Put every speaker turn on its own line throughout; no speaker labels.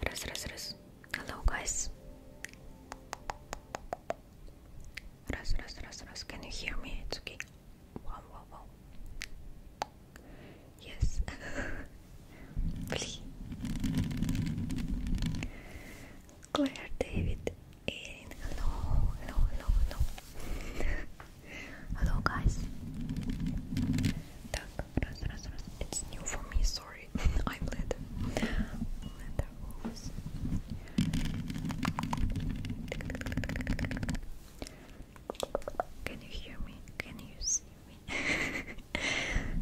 Раз, Hello, guys. Раз, Can you hear me? It's okay. Yes. Please. Claire David Erin. Hello, hello, hello, hello. hello guys. Так, It's new for me, sorry. I Can you hear me? Can you see me?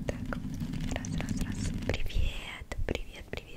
так, Привет, привет, привет.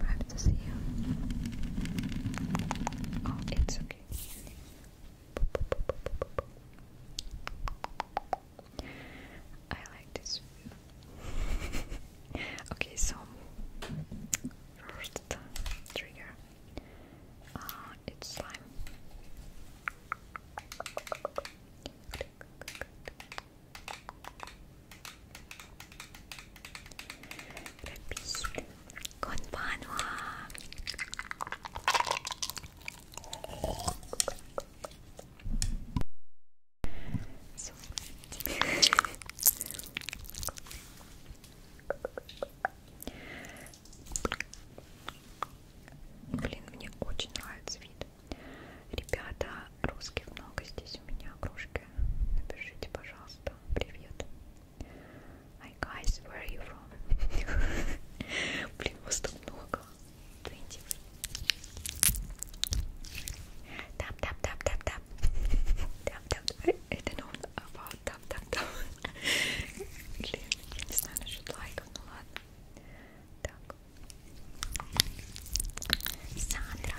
I'm happy to see you. Oh, it's okay. I like this okay, so first trigger. Uh, it's slime. Пропит. Конбанва. Блин, мне очень нравится вид. Ребята, русских много здесь у меня окружки. Напишите, пожалуйста, привет. Hi guys, where are you from? Блин, вас много. Twenty. Tap tap tap tap tap. Tap tap. I, I don't know tap tap tap. Блин, я не знаю насчет лайков, ну ладно. Так. Сандра.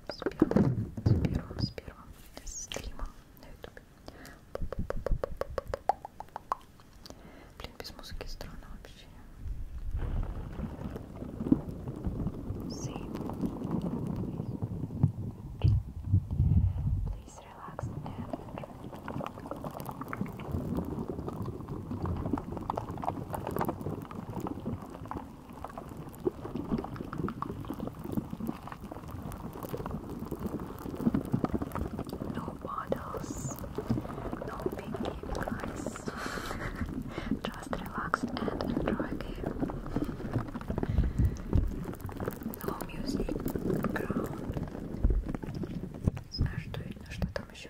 с первым, с первым, с первым стримом на ютубе. Блин, без музыки странно вообще. Save. Please relax and No bottles, no big game, guys. Just relax and enjoy No music, ground. Знаю, что видно, что там еще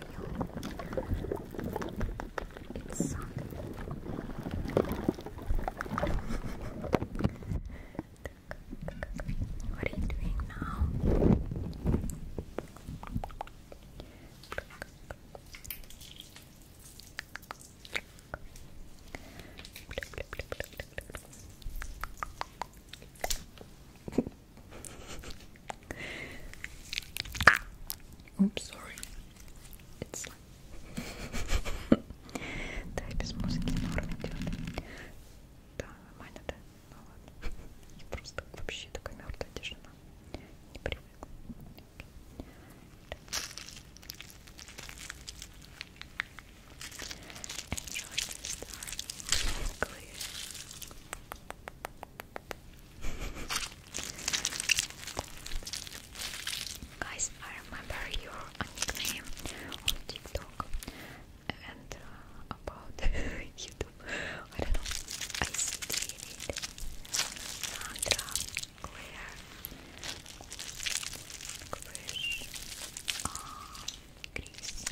are you? It's Sunday. what are you doing now? Oops, sorry. It's... да, без музыки норм идет. Да, нормально, да? Ну ладно. Я просто вообще такая мертвая тишина. Не привыкла. Enjoy this time. Clear. Guys, I remember your nickname on TikTok and uh, about YouTube. I don't know. I see it. Sandra, Claire, Chris, uh,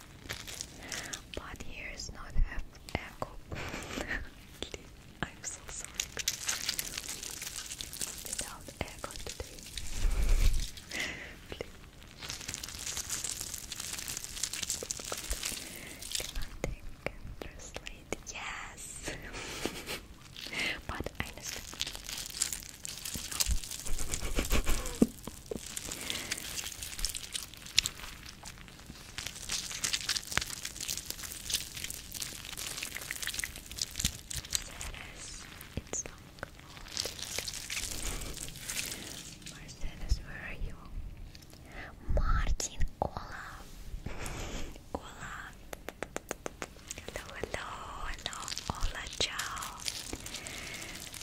But here's not have echo. I'm so sorry Without echo today. Can I take and translate? Yes! but I understand. Mercedes, it's like Martinez. Mercedes, where are you? Martin, hola, hola. Hello, hello, hello,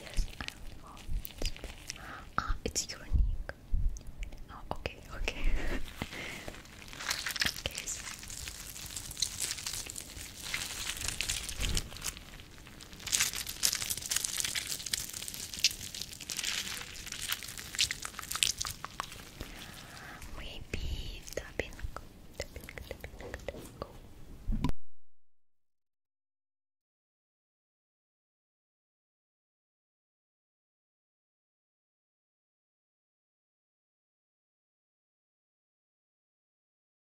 Yes, I will it's unique. Ah, okay, okay. Maybe tapping, tapping, tapping, tapping. Oh.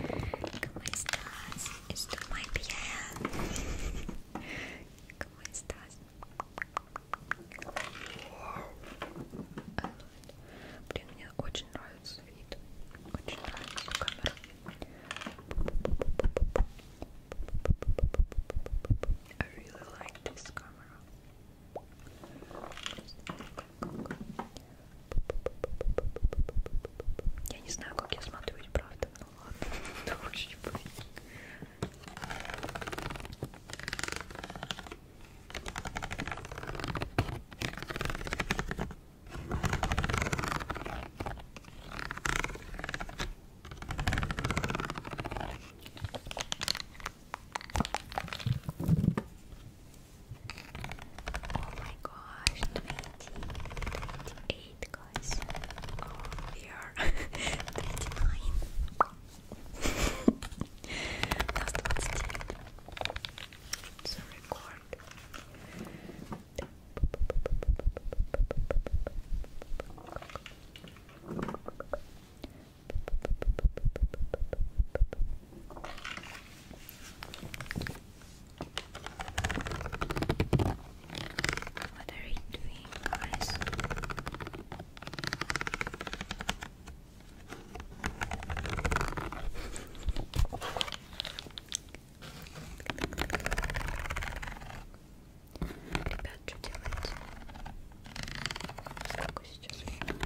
¿Cómo estás? Estoy muy bien. ¿Cómo estás? Блин, мне очень нравится вид. Очень нравится камера. I really like this camera. Я не знаю, как я смотрюсь, правда. Ну ладно, очень Oh my gosh, 28 guys. Oh, we are 29. That's what's it. So record. What are you doing, guys? Ребят, что делаете? Сколько сейчас?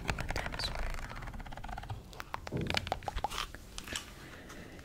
What time is right now?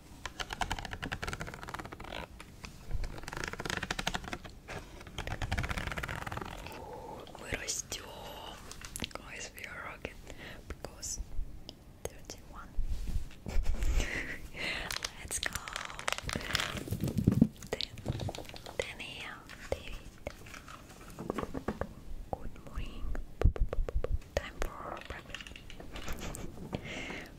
Мы растем, guys, we are rocking because 31. Let's go. Daniel, David. Good morning. Time for breakfast.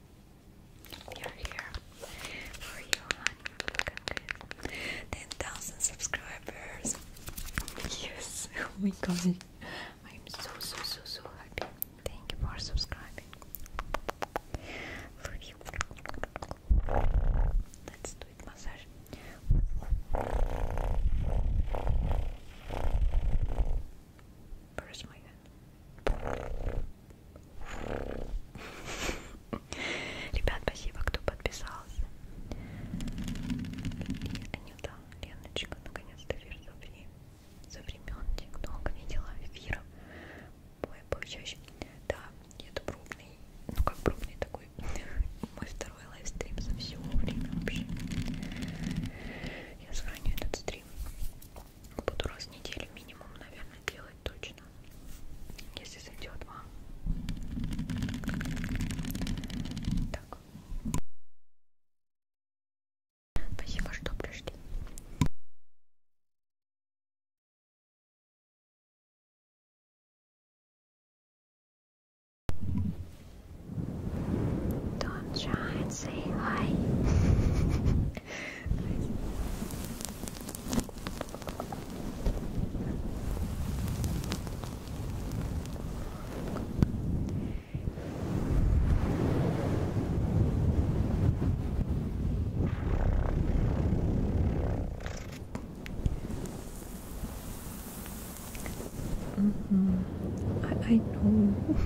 You're here for you, honey. Ten thousand subscribers. Yes. Oh my god. I'm so so so so happy. Thank you for subscribing. Let's do it massage. Brush my hair. Ребят, спасибо, кто подписался. И Анюта, Леночка, наконец-то эфир за время. За времен так много видела эфиров. Ой, получающий. Да, это пробный, ну как пробный такой, мой второй лайвстрим за все время вообще. Я сохраню этот стрим буду раз в неделю минимум, наверное, делать точно, если зайдет вам. Так. Спасибо, что пришли. Don't try and say hi. Mm -hmm. I, I know.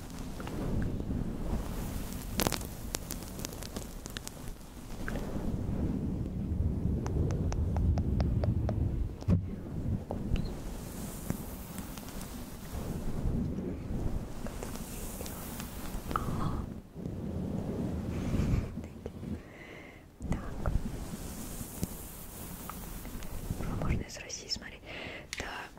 Так. Можно из России смотреть. Так,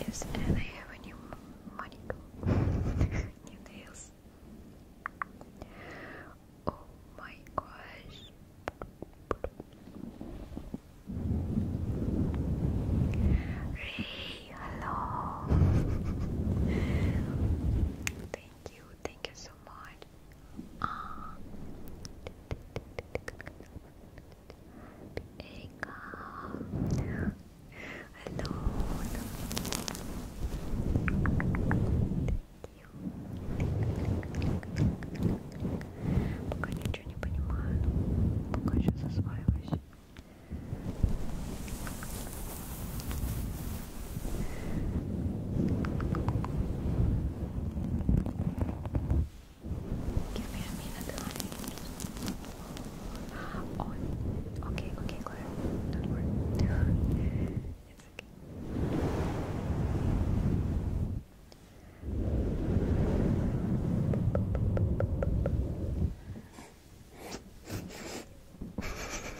Yes, and I have a new monocle. new nails. Oh my gosh. Ray, hello. thank you, thank you so much. 아, 에리카, 알로. Пока ничего не понимаю, пока сейчас осваиваюсь. Give me a minute, honey. Oh, okay, okay, Claire. Don't worry. it's okay.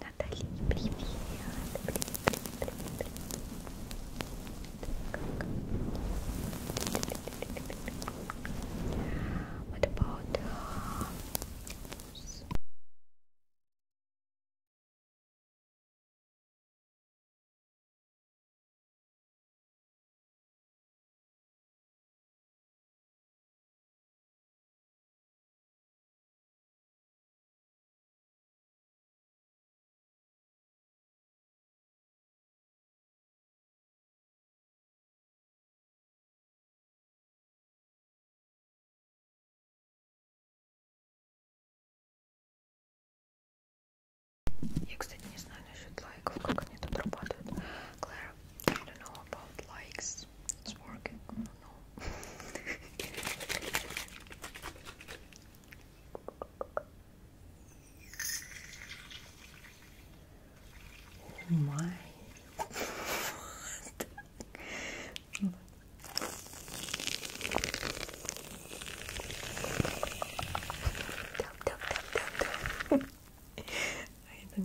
Натали, привет! Привет, привет, привет, привет. What about uh, Я, кстати, не знаю насчет лайков, как они тут работают. Claire, I don't know about likes. It's working. No. oh my what? Dump, dump, dump, dump, dump. I don't know.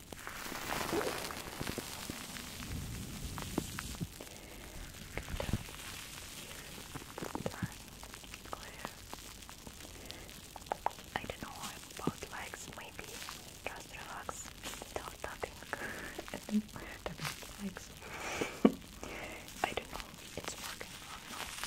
I don't know about legs, maybe just relax without tapping and tapping legs. I don't know, it's working or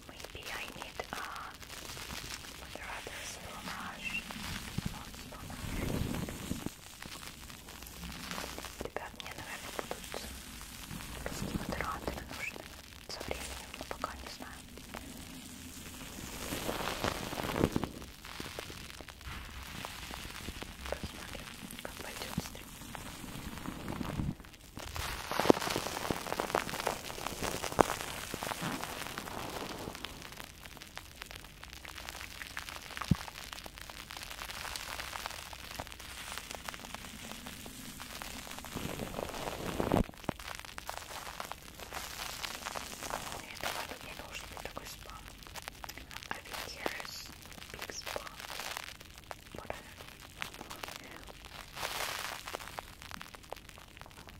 Maybe I need uh, what are others? Fromage. Not fromage. Ребят, мне, наверное, будут русские модераторы нужны со временем, но пока не знаю. Посмотрим, как пойдет стрим этого не должен быть такой спам. I think here is big spam. But I don't know.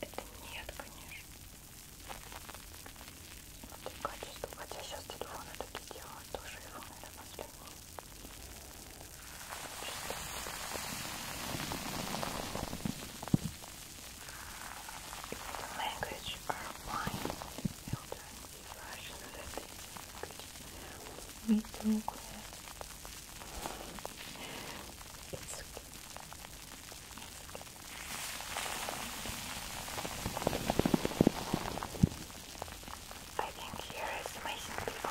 Это нет, конечно. Это качество, хотя сейчас телефоны такие делают, тоже его, наверное, последний. Чисто. If the language are mine, children version that is language, we It's I think here is amazing people.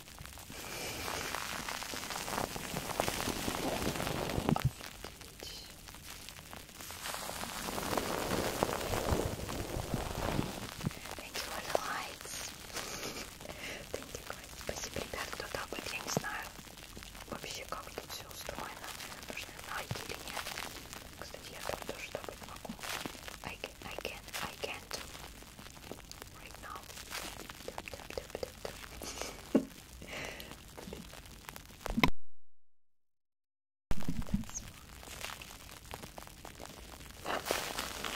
Thank you for the lights. Thank you, Кость. Спасибо, ребят, кто добавил. Я не знаю вообще, как тут все устроено. Нужно найти или нет. Кстати, я там тоже добавить могу. I can, I can, I can't right now. Tap, tap, tap, tap, tap. That's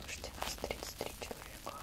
Слушайте, нас 33 человека. Неплохо.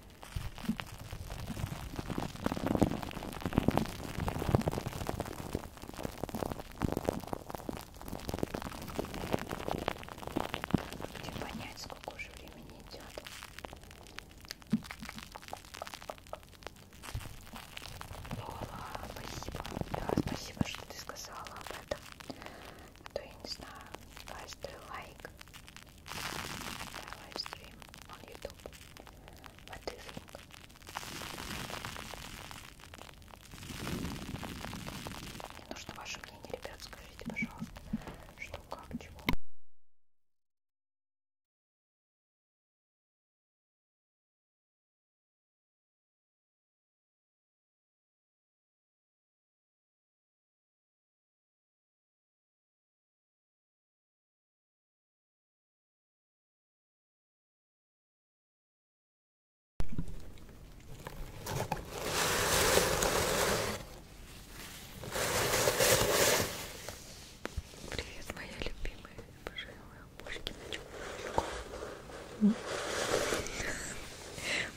Где понять, сколько уже времени идет? Лола, спасибо. Да, спасибо, что ты сказала об этом. А
то я не знаю, каждый лайк a live stream on YouTube. What do you think? Мне нужно ваше мнение, ребят, скажите, пожалуйста, что, как, чего. Привет, моя любимая, обожаю мушки.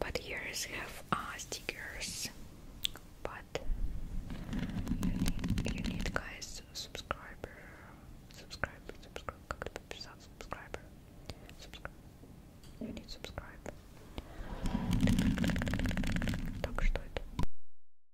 But here's have uh, stickers. But you need, you guys subscriber, subscriber, subscribe, как subscriber, You need subscribe. Так что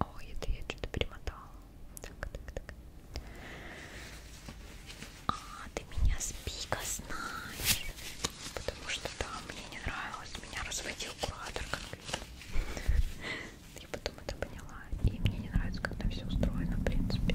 О, это я что-то перемотала. Так, так, так. А, ты меня с пика знаешь. Потому что там да, мне не нравилось. Меня разводил куратор конкретно. Я потом это поняла. И мне не нравится, когда все устроено, в принципе.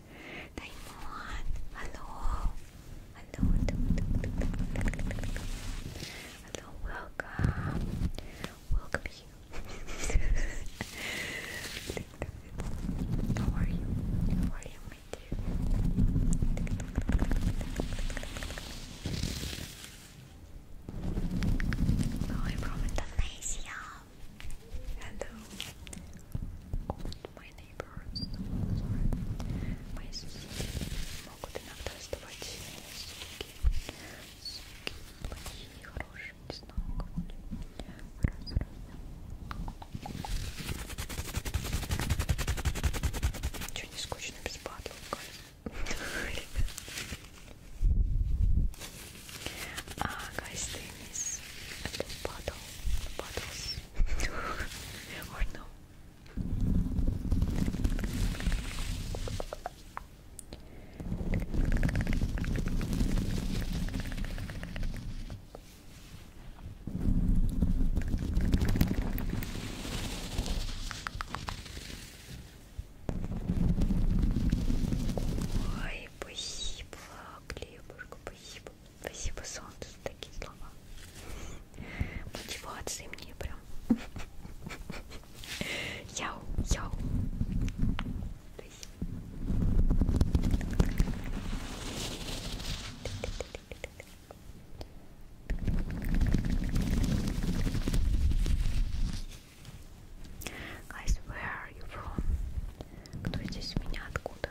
Daimon, hello. Hello. Hello, welcome. Welcome you. How are you? How are you, my dear? Oh, I'm from Indonesia. Hello my neighbors Мои соседи могут иногда оставать суки Суки, плохие, хорошие, не знаю кого-то Раз, раз Че, не скучно без батлов, Ребят Ah, guys, thing is, I love bottle, bottles. or no. Ой, спасибо, Глебушка, спасибо, Спасибо, солнце, за такие слова. Мотивации мне прям. Яу, яу. Guys, where are you from? Кто здесь меня откуда?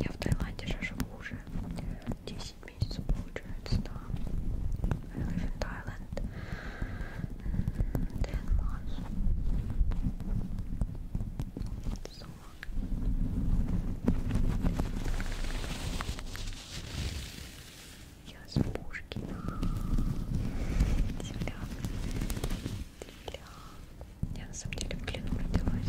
Я в Таиланде живу уже 10 месяцев получается, да. I live in Thailand. 10 months. So Я с Пушкина. Земля. Земля. Я на самом деле в Клину родилась.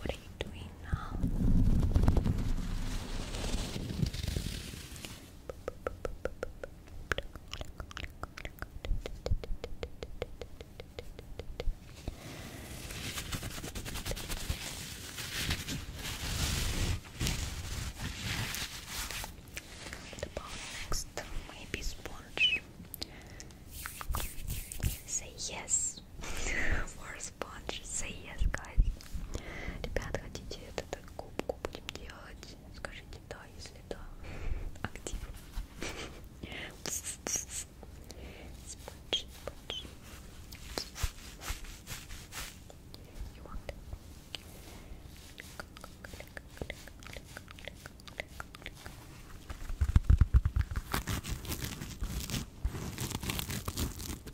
What are you doing now? The ball next, maybe sponge. Say yes. More sponge, say yes, guys. Ребят, хотите эту губку будем делать? Скажите да, если да. Актив. Sponge, sponge. You want? Ой,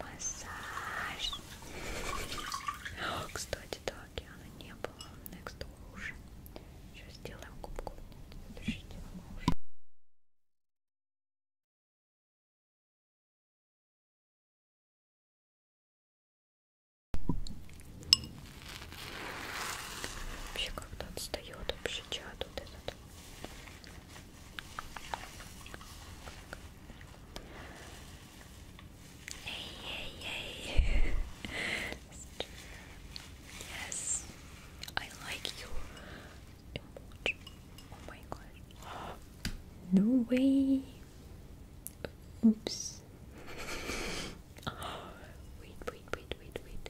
Массаж. Кстати, да, океана не было. Next уже. Сейчас сделаем губку. Следующее дело мы уже. Вообще как-то отстает вообще чат вот этот Hey, hey, hey. yes, I like you. Emoji. Oh my god. No way. Oops. wait, wait, wait, wait, wait.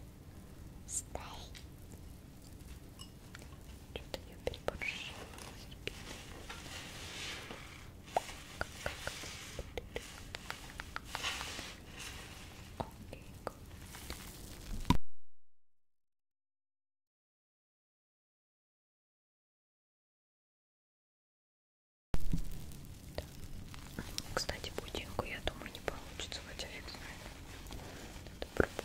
Stay. Что-то я переборщила кстати, путинку, я думаю, не получится, хотя фиг знает. Надо пробовать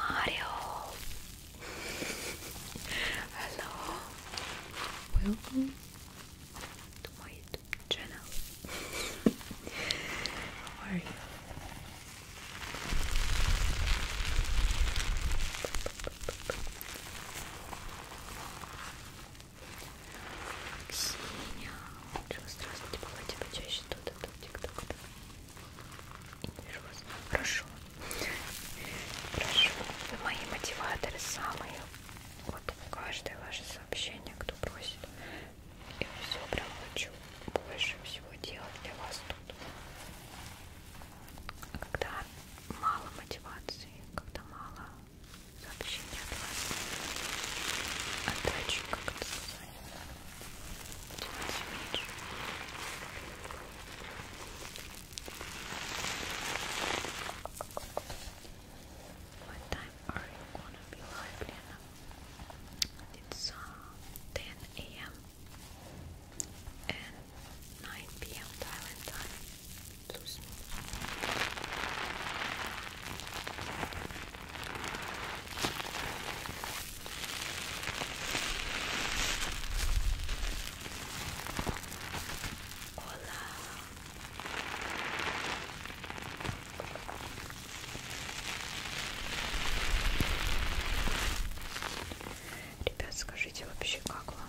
Mario. Hello. Welcome to my channel. How are you?
Ксения, лучше а вас сразу типа хотя бы чаще тот и тот тик-ток. Хорошо. Хорошо. Вы мои мотиваторы самые. Вот каждое ваше сообщение, кто просит. Я все прям хочу больше всего делать для вас тут. когда мало мотивации, когда мало сообщений от вас, отдачи, как это сказать, меньше. What time are you gonna be live, Lena? It's uh, 10 a.m and 9 p.m. Thailand time. Lose me. Hola. Ребят, скажите вообще, как вам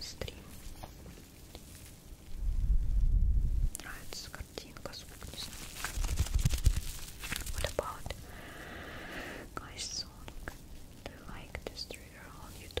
стрим? Нравится картинка, звук, не знаю. What about guys song? Do you like this trigger on YouTube?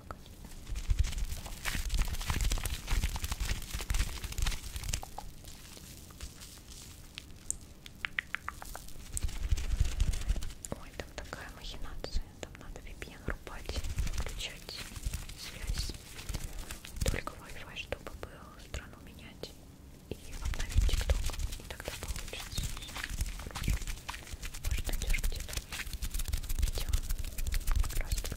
Ой, там такая махинация, там надо VPN рубать, включать связь, только Wi-Fi, чтобы был, страну менять и обновить ТикТок, и тогда получится. Может, найдешь где-то Все, просто.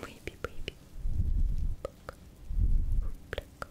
Baby, baby, baby. Black. Black. Black.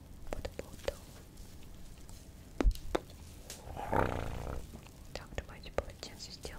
под полдом. Так, давайте полотенце сделаем.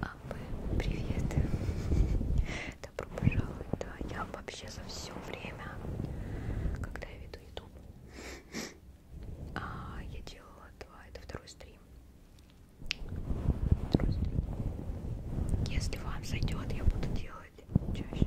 Аппы, привет! Добро пожаловать! Да, я вообще за все время, когда я веду YouTube а, я делала два, это второй стрим. второй стрим. Если вам зайдет, я буду делать чаще.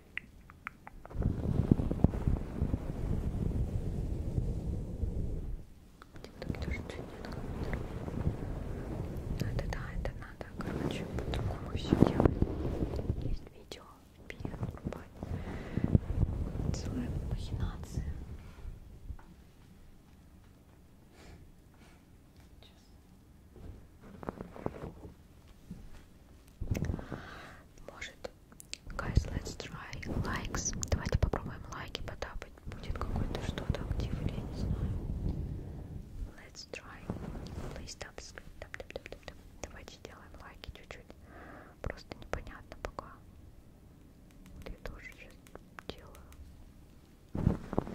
ТикТоке тоже чуть нет компьютера. Но это да, это надо, короче, по-другому все делать. Есть видео, пьер, рубать. Целая махинация. Сейчас. Может, guys, let's try likes. Давайте попробуем лайки потапать. Будет какой-то что-то актив или я не знаю. Let's try. Please tap. Tap, tap, tap, tap, tap. Давайте сделаем лайки чуть-чуть. Просто непонятно пока. Вот я тоже сейчас делаю. Непонятно.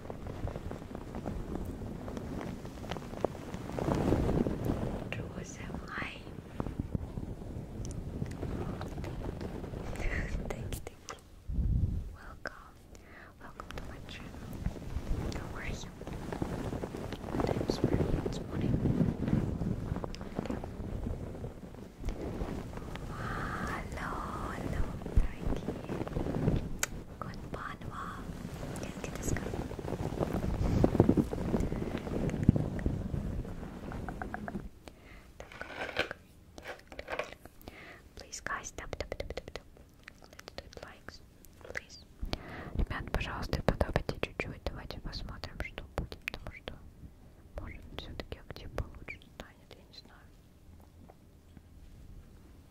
Друзі май. thank Welcome. Welcome to my channel. How are you? What for you this morning? hello, thank you. Konbanwa. Qu'est-ce que c'est ça? Please, guys, tap, tap, tap, tap, tap. Let's do it likes, please. Ребят, пожалуйста, потапайте чуть-чуть. Давайте посмотрим, что будет, потому что может все-таки актив получше станет, я не знаю.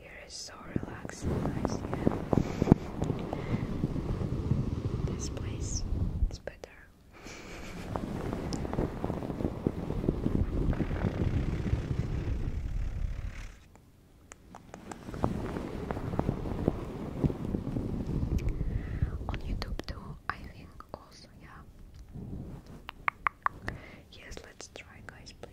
Here is so relaxing, This place is better. On YouTube too, I think yeah. Yes, let's try, guys. Please.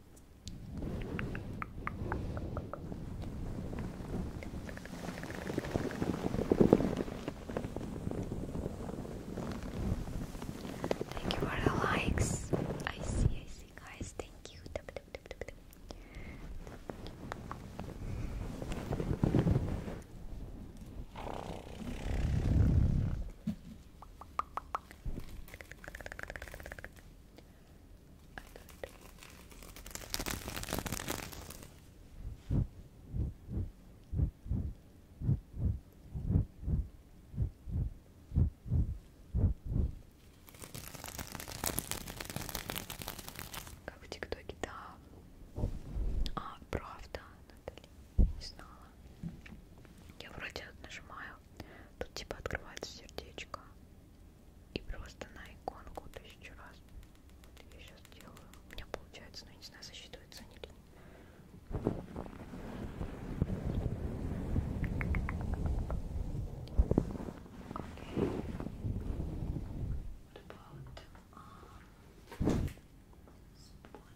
Thank you for the likes. I see, I see, guys. Thank you. Как в ТикТоке, да. А, правда, Натали, не знала. Я вроде вот нажимаю, тут типа открывается сердечко и просто на иконку тысячу раз. Вот я сейчас делаю. У меня получается, но ну, не знаю, засчитывается они или Окей. About, um, а,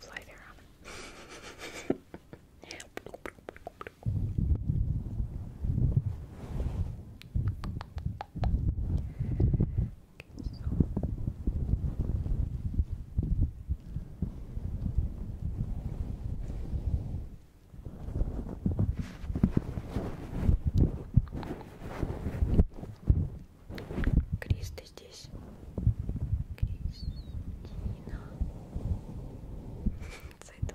Fly there, Ramen. Okay, so. Крис, ты здесь? Кристина. Зайду.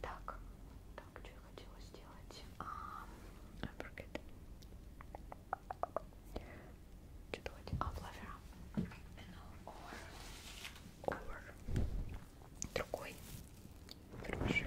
Так, так, что я хотела сделать? А, что-то хоть облавера. А, Over. Over. Другой. Хороший.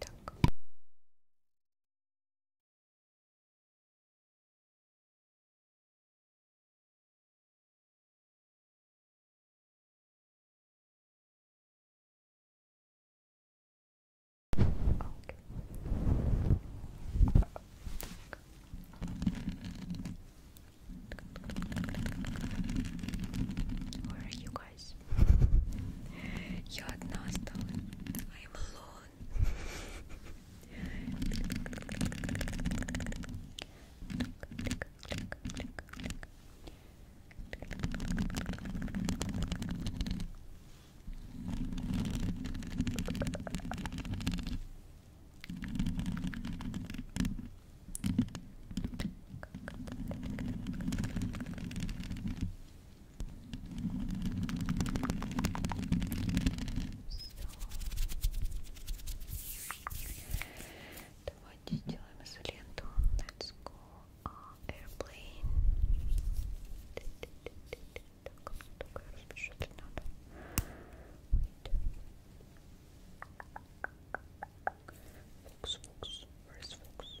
Tuck. Okay. Where are you guys. Я одна осталась. I'm alone. Давайте сделаем изоленту. Let's go airplane. Так, только разбежать надо. Wait. Fox, Fox, where is Fox?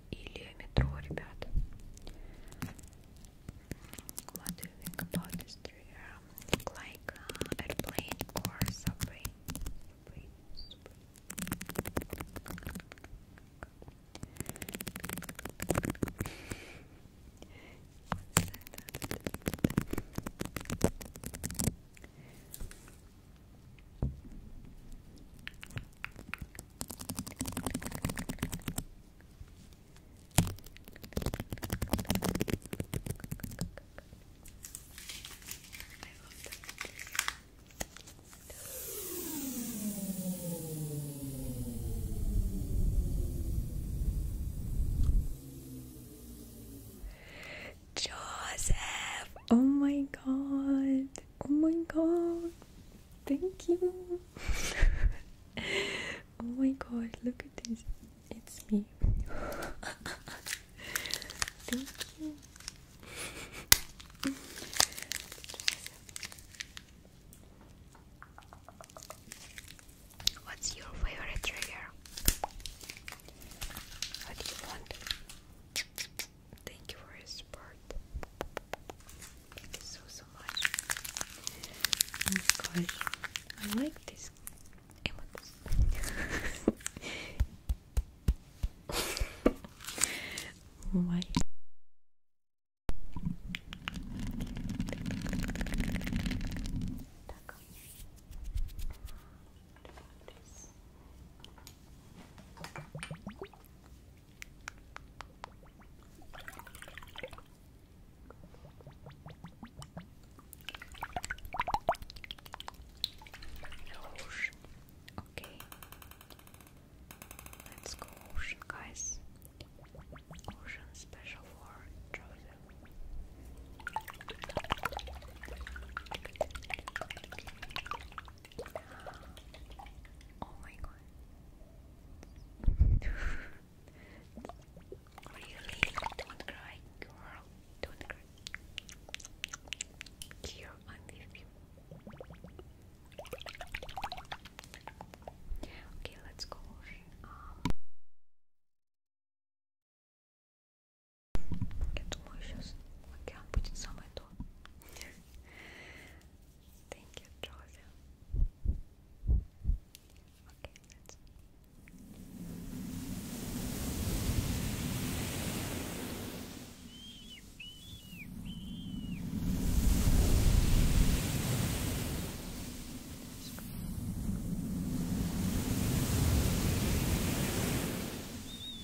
или метро, ребят. What about this trigger? Like airplane or subway? Joseph, oh my god, Oh my god, thank you. oh my god, look at
this. It's me. thank you. What's your favorite trigger? What do you want? Thank you for your support. Thank you so so much. Oh my gosh, I like these emotes.
Why? Oh Lotion. Okay. Let's go ocean guys. Ocean special for Joseph. Oh my god. really? Don't cry, girl. Don't cry. Here, I'm with you. Okay, let's go. Um, Я думаю, сейчас океан будет самое то. Thank you, Jordan. Okay, let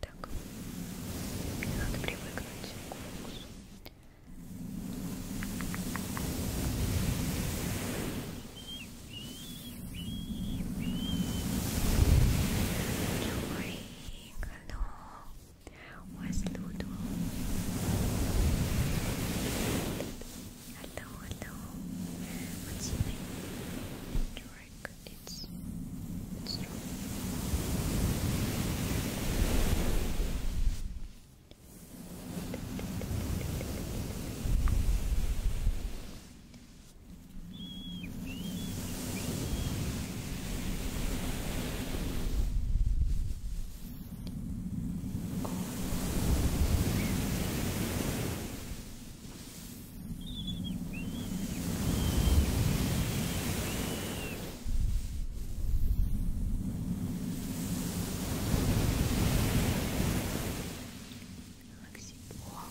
Так, мне надо привыкнуть к фокусу. Давай Hello. Where's Ludo? Hello, hello. What's your name? Drake.
It's it's strong. Alexis, wow.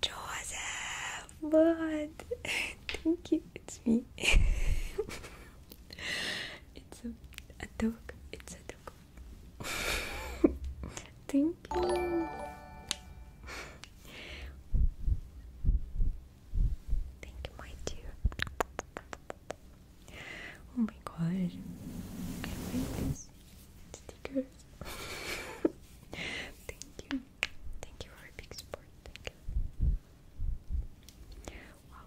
Joseph, what? Thank you, it's me. it's a, a dog, it's a dog. Thank you.
Thank you, my dear. Oh my
god. I like this stickers. Thank you. Thank you for a big support. Thank you. Wow.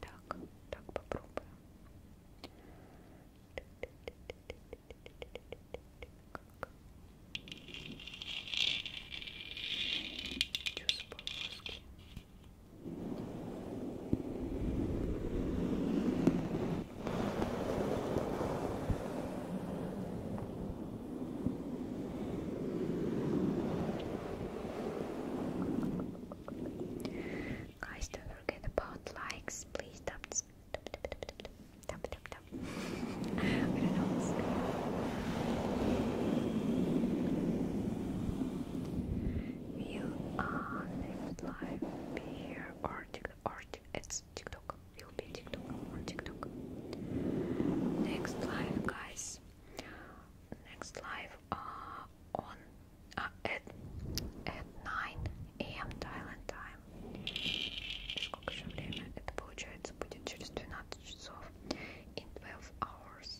Так, так попробуем. Чувствую волоски. Guys, don't forget about likes, please. Tap, tap, tap, tap, tap, tap, tap. I don't know. Will next live be here or TikTok? it's TikTok. Will be TikTok or TikTok. Next live, guys. Next live uh, on uh, at at 9 a.m. Thailand time. Сколько же время? Это получается будет через 12 часов in 12 hours.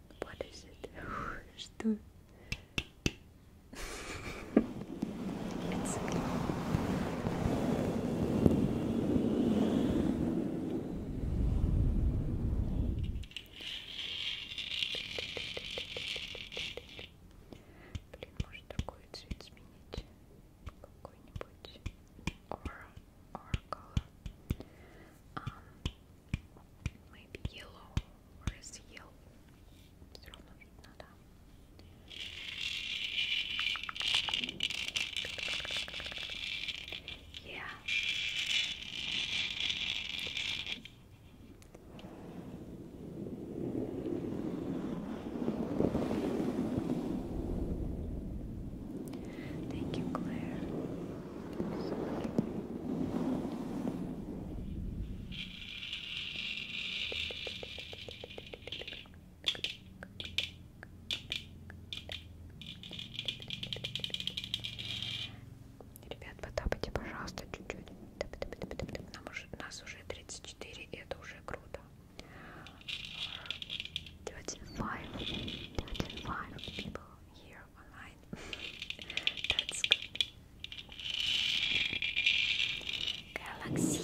Что?
Блин, может другой цвет сменить? Какой-нибудь or, or color. Um, Maybe yellow. Where is yellow? Все равно видно, да. Yeah.
Thank you, Claire. Ребят, потапайте, пожалуйста, чуть-чуть. Нас уже 34, и это уже круто. 35, 35 people here. you online. That's good. Galaxy.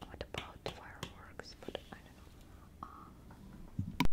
what about fireworks? But I don't know.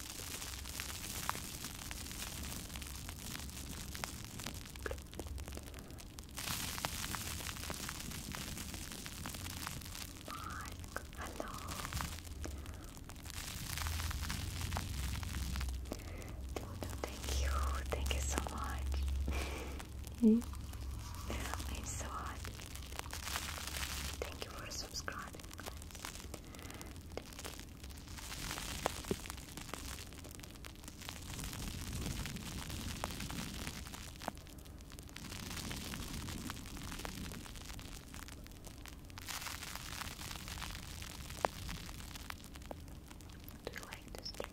Mark, hello. thank you, thank you so much. Hmm? I'm so happy. Thank you for subscribing. Do you like this thing?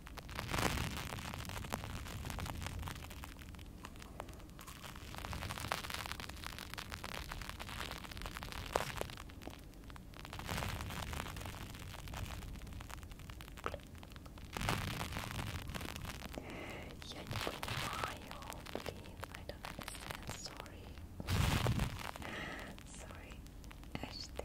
Я you понимаю, please. I don't understand. Sorry. Sorry. I still.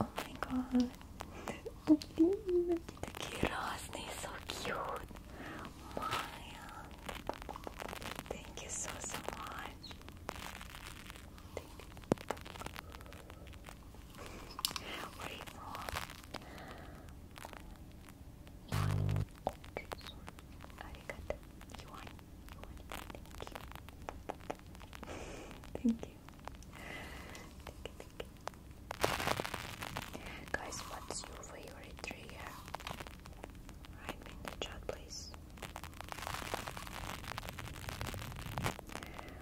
Oh my god. Look at the Kirasne so cute. Maya. Thank you so so much. Thank you.
thank you. Thank you, thank you.
Guys, what's your favorite trigger? Write me in the chat, please.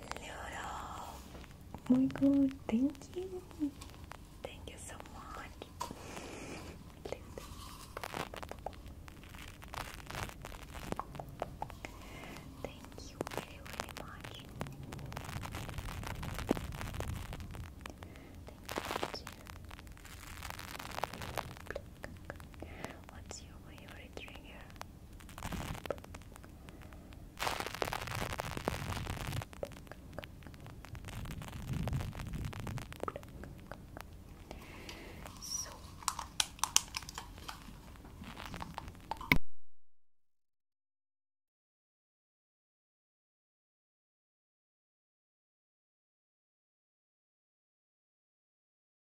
Little. Oh my god, thank you. Thank you so much. Thank you very much. Thank you. What's your favorite every trigger. So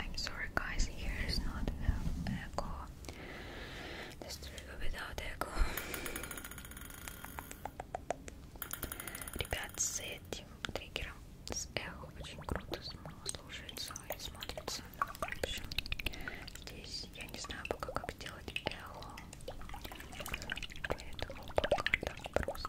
I'm sorry, guys, here is not an echo. This is without echo. Ребят, с этим триггером, с эхо очень круто слушается и смотрится. В общем, здесь я не знаю пока, как делать эхо. Поэтому пока так просто.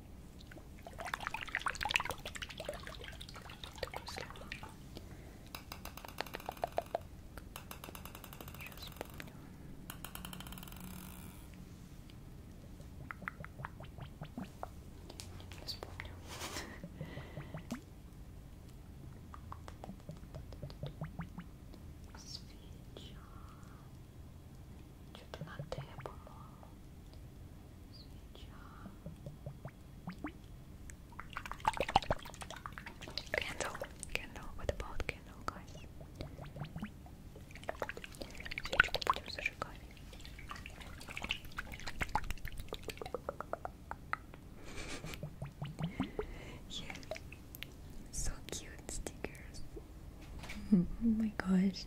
Не вспомню. Свеча. Что-то на Д, по-моему. Candle, candle, what about candle, guys? Свечку будем зажигать. yeah, so cute stickers. oh my gosh.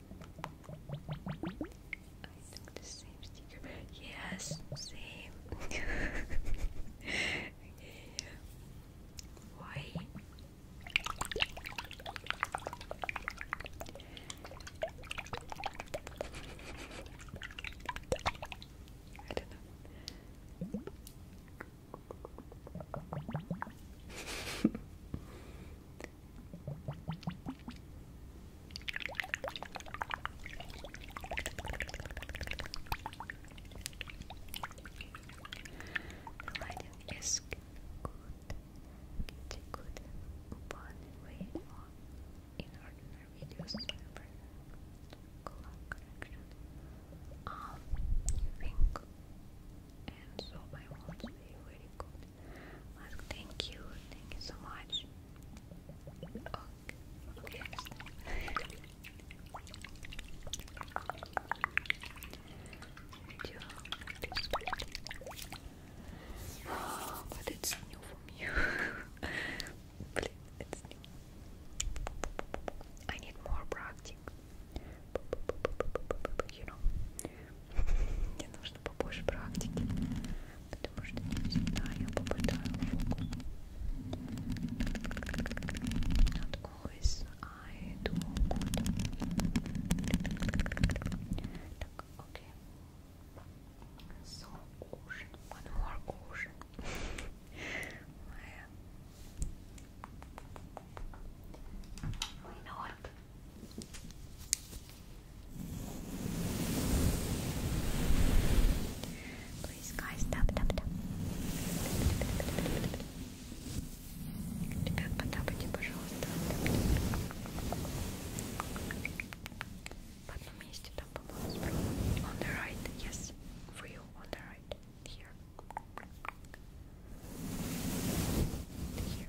I took the same sticker. Yes, same. Why? I don't know. The lighting is good. It's a good one way on in ordinary videos for color correction. Um, think and so I want to be very good Thank you, thank you so much. Okay. new from you. I need more practice. You know. нужно побольше практики, потому что не всегда я попадаю в фокус. Not always I do good. Так, окей. Okay. So ocean, one more ocean. Why not? Please, guys, stop, stop, stop. Теперь потапайте, пожалуйста. В On the right, yes. For you, on the right. Here. Here.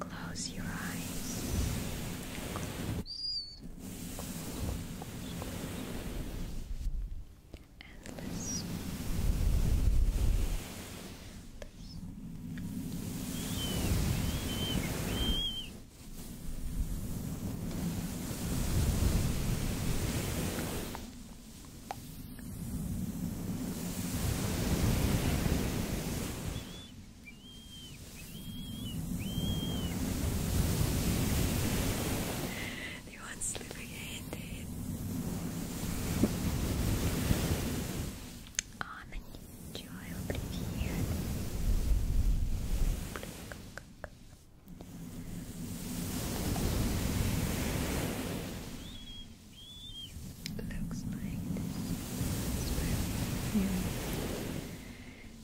Close your eyes. Close. Endless. Endless. You want to sleep again, на ничаю, привет. Looks like this. It's really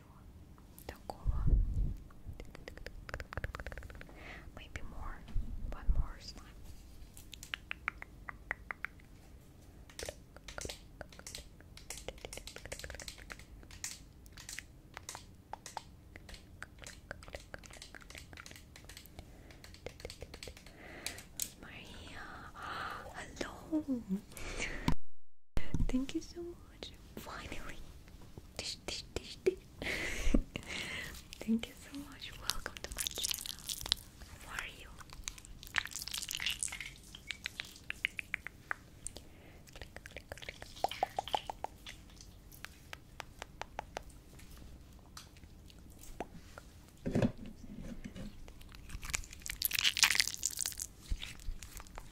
ничего такого. Maybe more, one more Maria, hello. Thank you so much. Finally, Thank you so much. Welcome to my channel. How are you?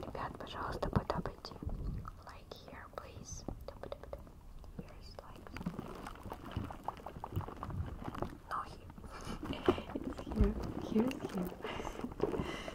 Ребят, пожалуйста, подобайте лайк like here, please. Here is like. No, here. it's here. Here is here.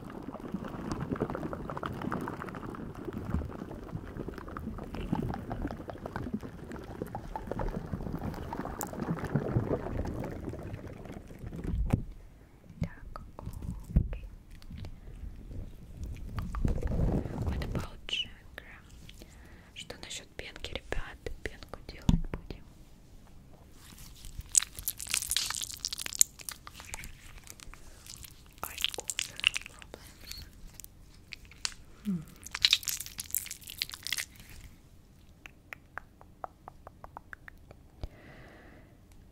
Так, окей. Вот about chakra. Что насчет пенки, ребят? Пенку делать будем. Are you problems? Hmm.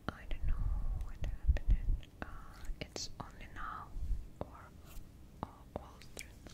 I don't know what happened. Uh, it's only now or uh, all through.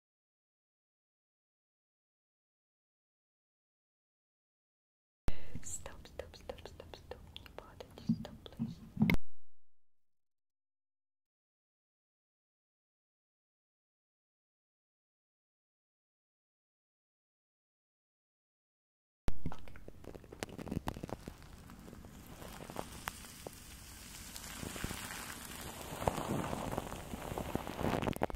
Stop, stop, stop, stop, stop. Не падайте, stop, please. Okay.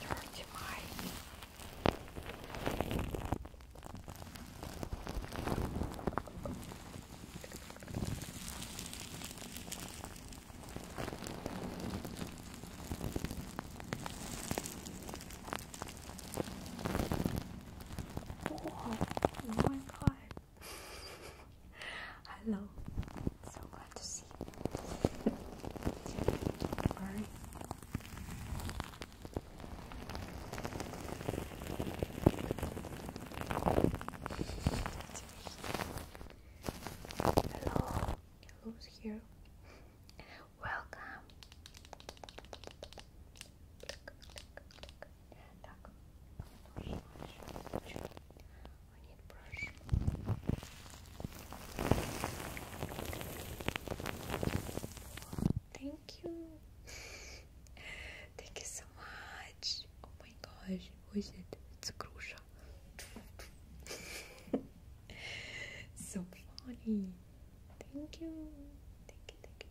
Dirty Mike. Oh my god. Hello. So glad to see you. do Hello. Who's here? Welcome. I need brush. Thank you. Thank you so much. Oh my gosh, who is it? It's Grusha. so funny. Thank you. Thank you, thank you.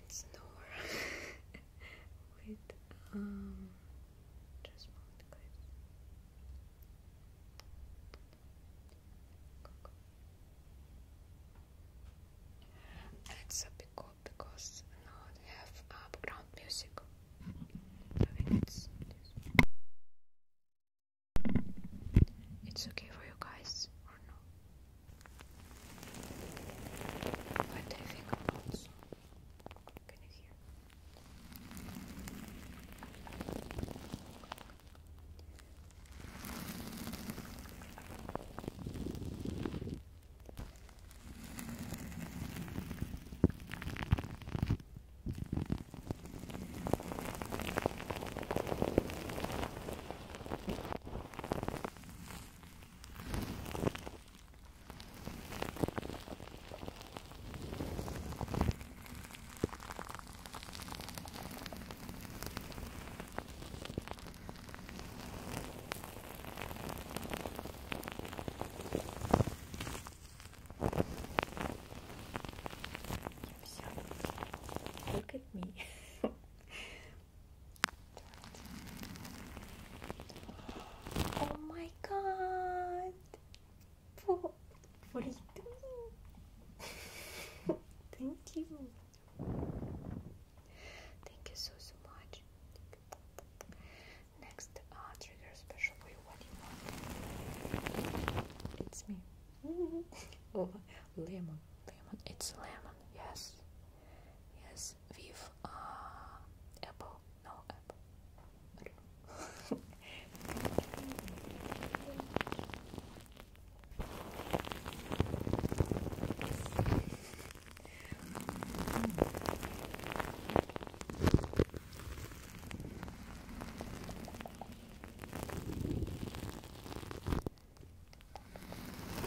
and snore with um just one guys that's a big up because now have uh, background music it's okay for you guys Quite difficult also. Can you hear? Look at me. Oh my god! What, are you doing? Thank you. Thank you so so much. Next uh, trigger special for you. What do you want? It's me. oh, lemon, lemon. It's lemon. Yes, yes is with uh, Apple. No, Apple. I think about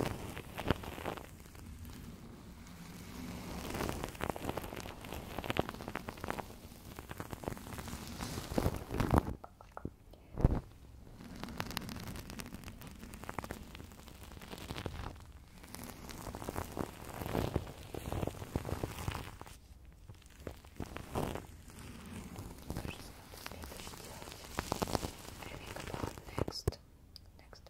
next next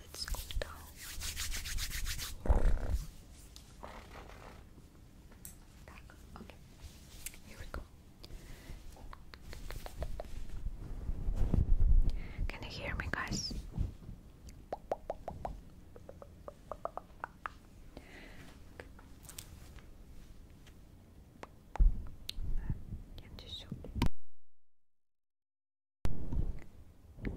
Let's go down. Okay, here we go. Can you hear me, guys? Gambit,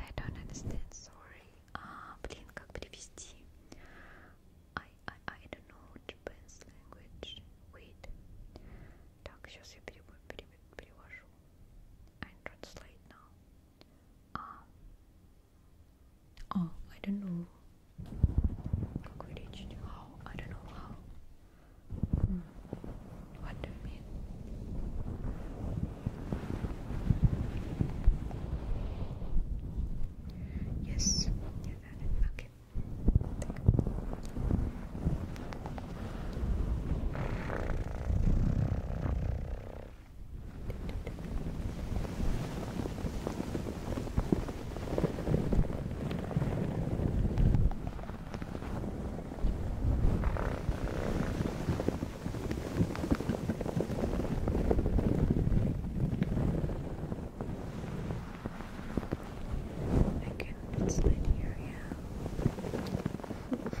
I don't understand, sorry. А, блин, как перевести? I, I, I don't know Japanese language. Wait. Так, сейчас я перевожу. I translate now. Ah. oh, I don't know. How? I don't know how. Hmm. What do you mean? Yes, yeah, that okay. I can slide here, yeah.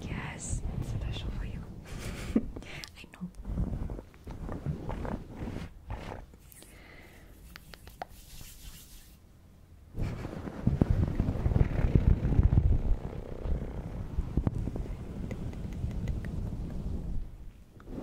Yes, special for you. I know. Very long.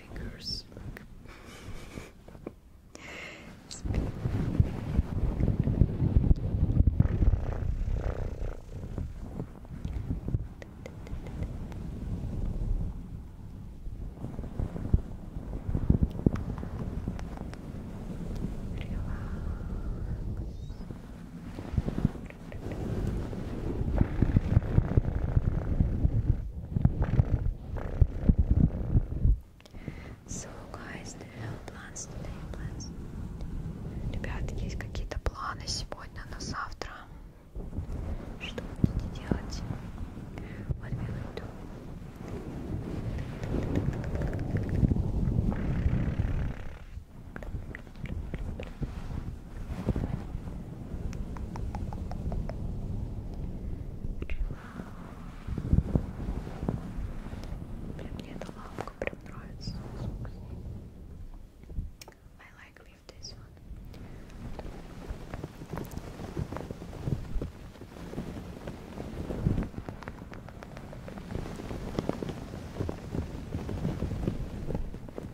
fingers. it's been... Relax. So guys, do you have plans today? Plans? Ребят, есть какие-то планы сегодня на завтра? Что будете делать? What will you do? Прям мне эта лампа прям нравится звук с ней. I like leave this one.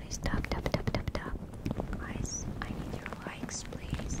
Please, tap, tap, tap, tap, Guys, I need your likes, please.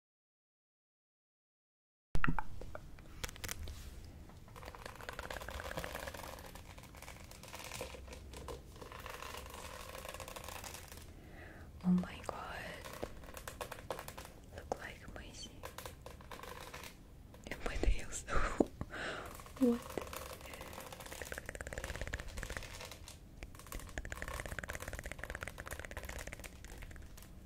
Oh my god. Look like Macy. my nails. what?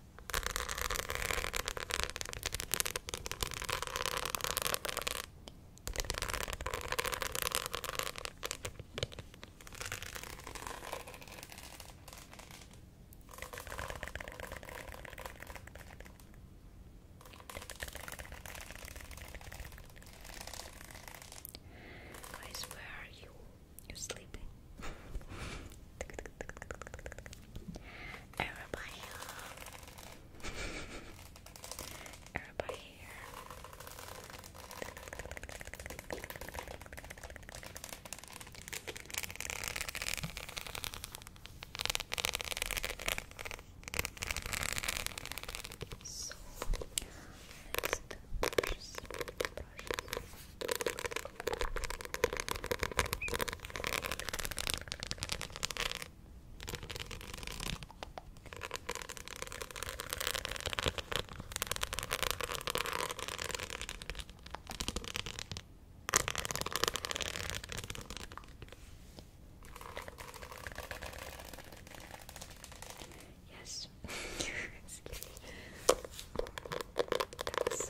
Guys, where are you? You're sleeping. Everybody here. Everybody here. So, next brushes, brushes,
Yes. That's so.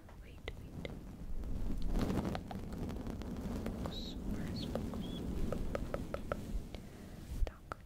Wait, wait. Books, where's books? Doc. Book.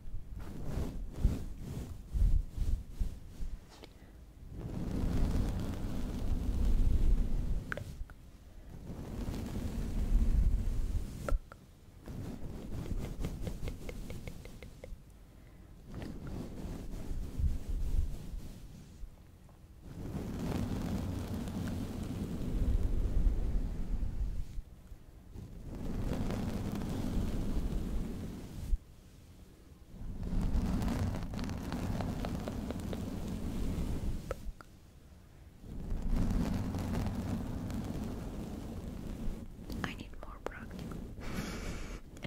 I need more practical.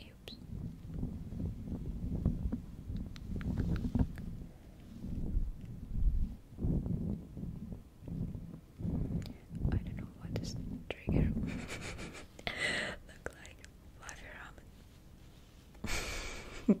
Oops. I don't know what trigger look like. Love your ramen.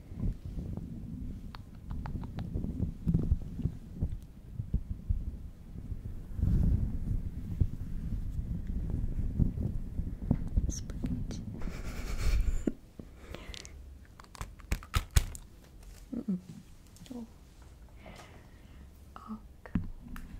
Spaghetti. mm -mm. Oh. Okay. Uh.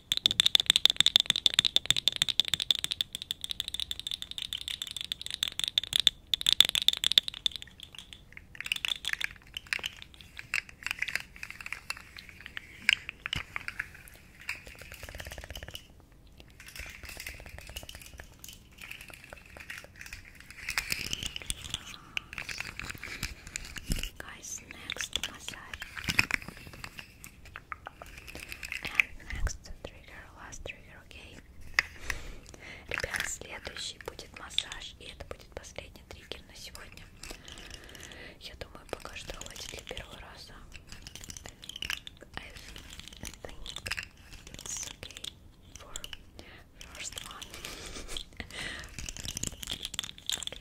Guys, next massage And next trigger, last trigger, okay? Ребят, следующий будет массаж, и это будет последний триггер на сегодня. Я думаю, пока что хватит для первого раза. I think it's okay for first one. okay.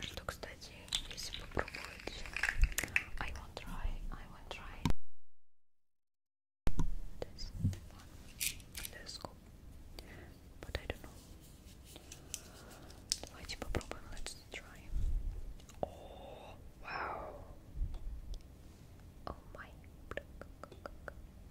Что, кстати, try, I will try. This one, this scoop, but I don't know. let's try. Oh, wow! Oh my!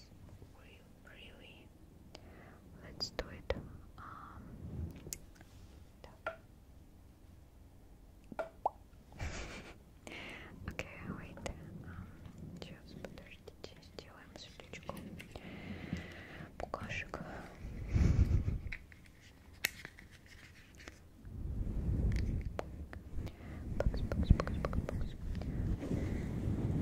looks real pretty. Let's do it. Um, okay, wait. Um, сейчас подождите, сделаем светлячку. Букашек. Books, books, books, books, books. Relax.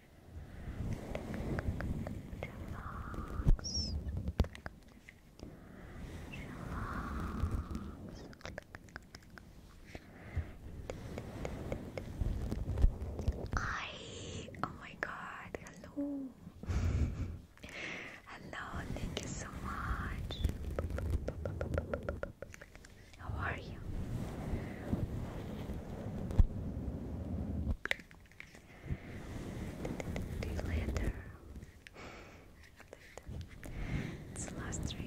I oh my god, hello. hello, thank you so much. How are are you? The letter. the last trigger.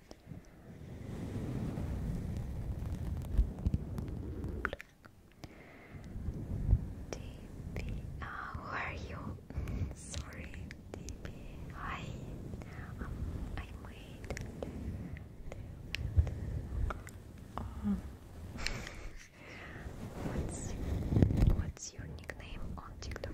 DP, ah, who are you? Sorry, DP. Hi, um, I'm wait. what's what's your nickname on TikTok?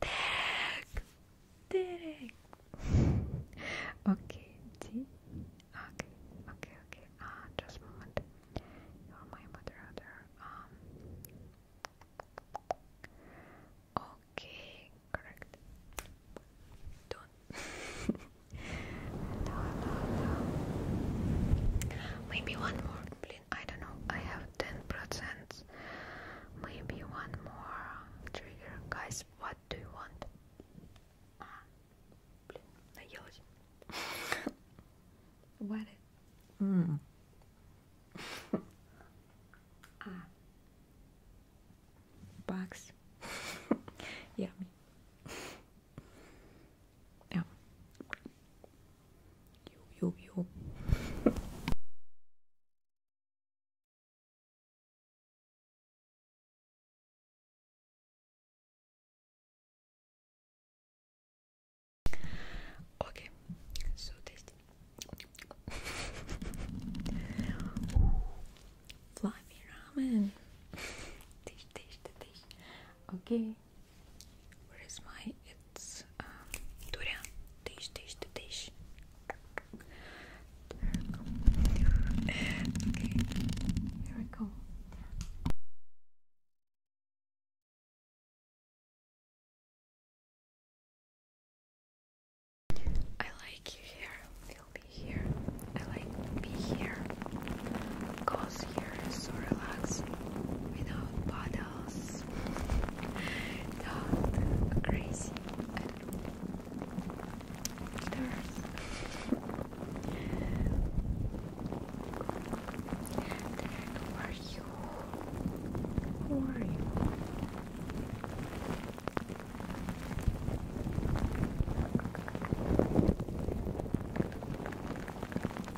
Derek, Derek. okay, Okay, okay, okay. Ah, just a moment. You're my moderator. Um. Okay, correct. Don't. Maybe one more, please. I don't know, I have 10%, maybe one more trigger. Guys, what do you want? Ah, блин, наелась. What it? Hmm. ah. Box. Yummy. Yeah okay, so tasty. Fly ramen. Dish, dish, dish. Okay, where is my? It's um, Durian. Dish, dish, the dish. There we go. okay, here we go. I like you here. We'll be here. I like to be here. Cause here is so relaxed without bother dolls. crazy. I who are you? Who are you?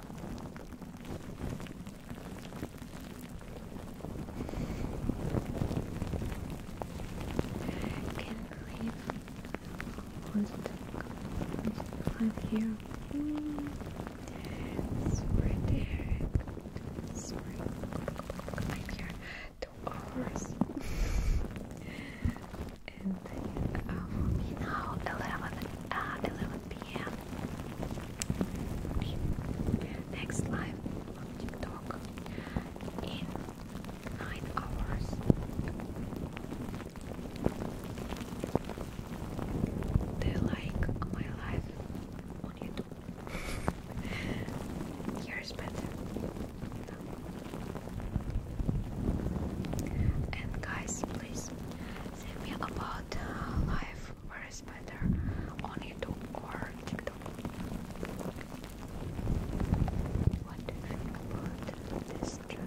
Can sleep almost, almost five here. Mm. Sorry, Derek. Sorry, I'm here two hours and um, you now 11, p.m. Next live on TikTok in 9 hours.
Do you like my live on YouTube? Here's better. And guys, please tell me about uh, life where is better on or TikTok. What about this channel?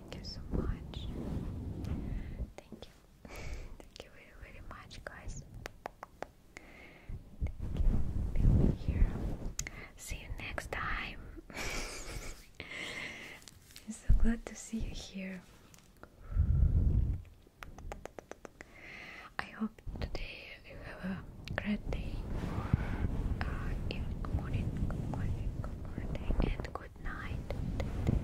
Thank you so much. Thank you. Thank you very, very much, guys. See you next time. it's so glad to see you here. I hope today you have a great day, uh, good morning, good morning, good morning, and good night.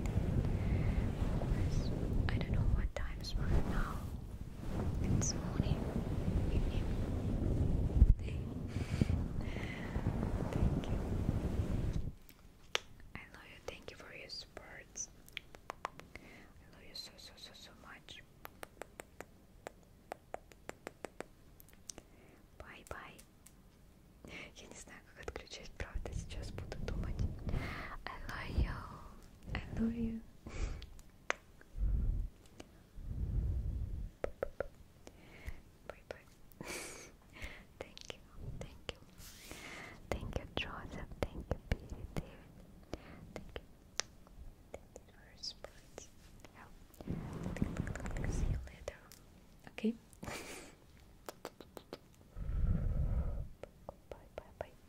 I don't know what times we're now. Good morning, evening. Thank you. I love you. Thank you for your support. I love you so, so, so, so much. Bye-bye. Я не знаю, как отключать, правда, сейчас буду думать. I love you. I love
you. bye bye. thank you, thank you, thank you, Joseph. Thank you, Peter, Thank you. Thank you See you later. Okay. bye bye bye.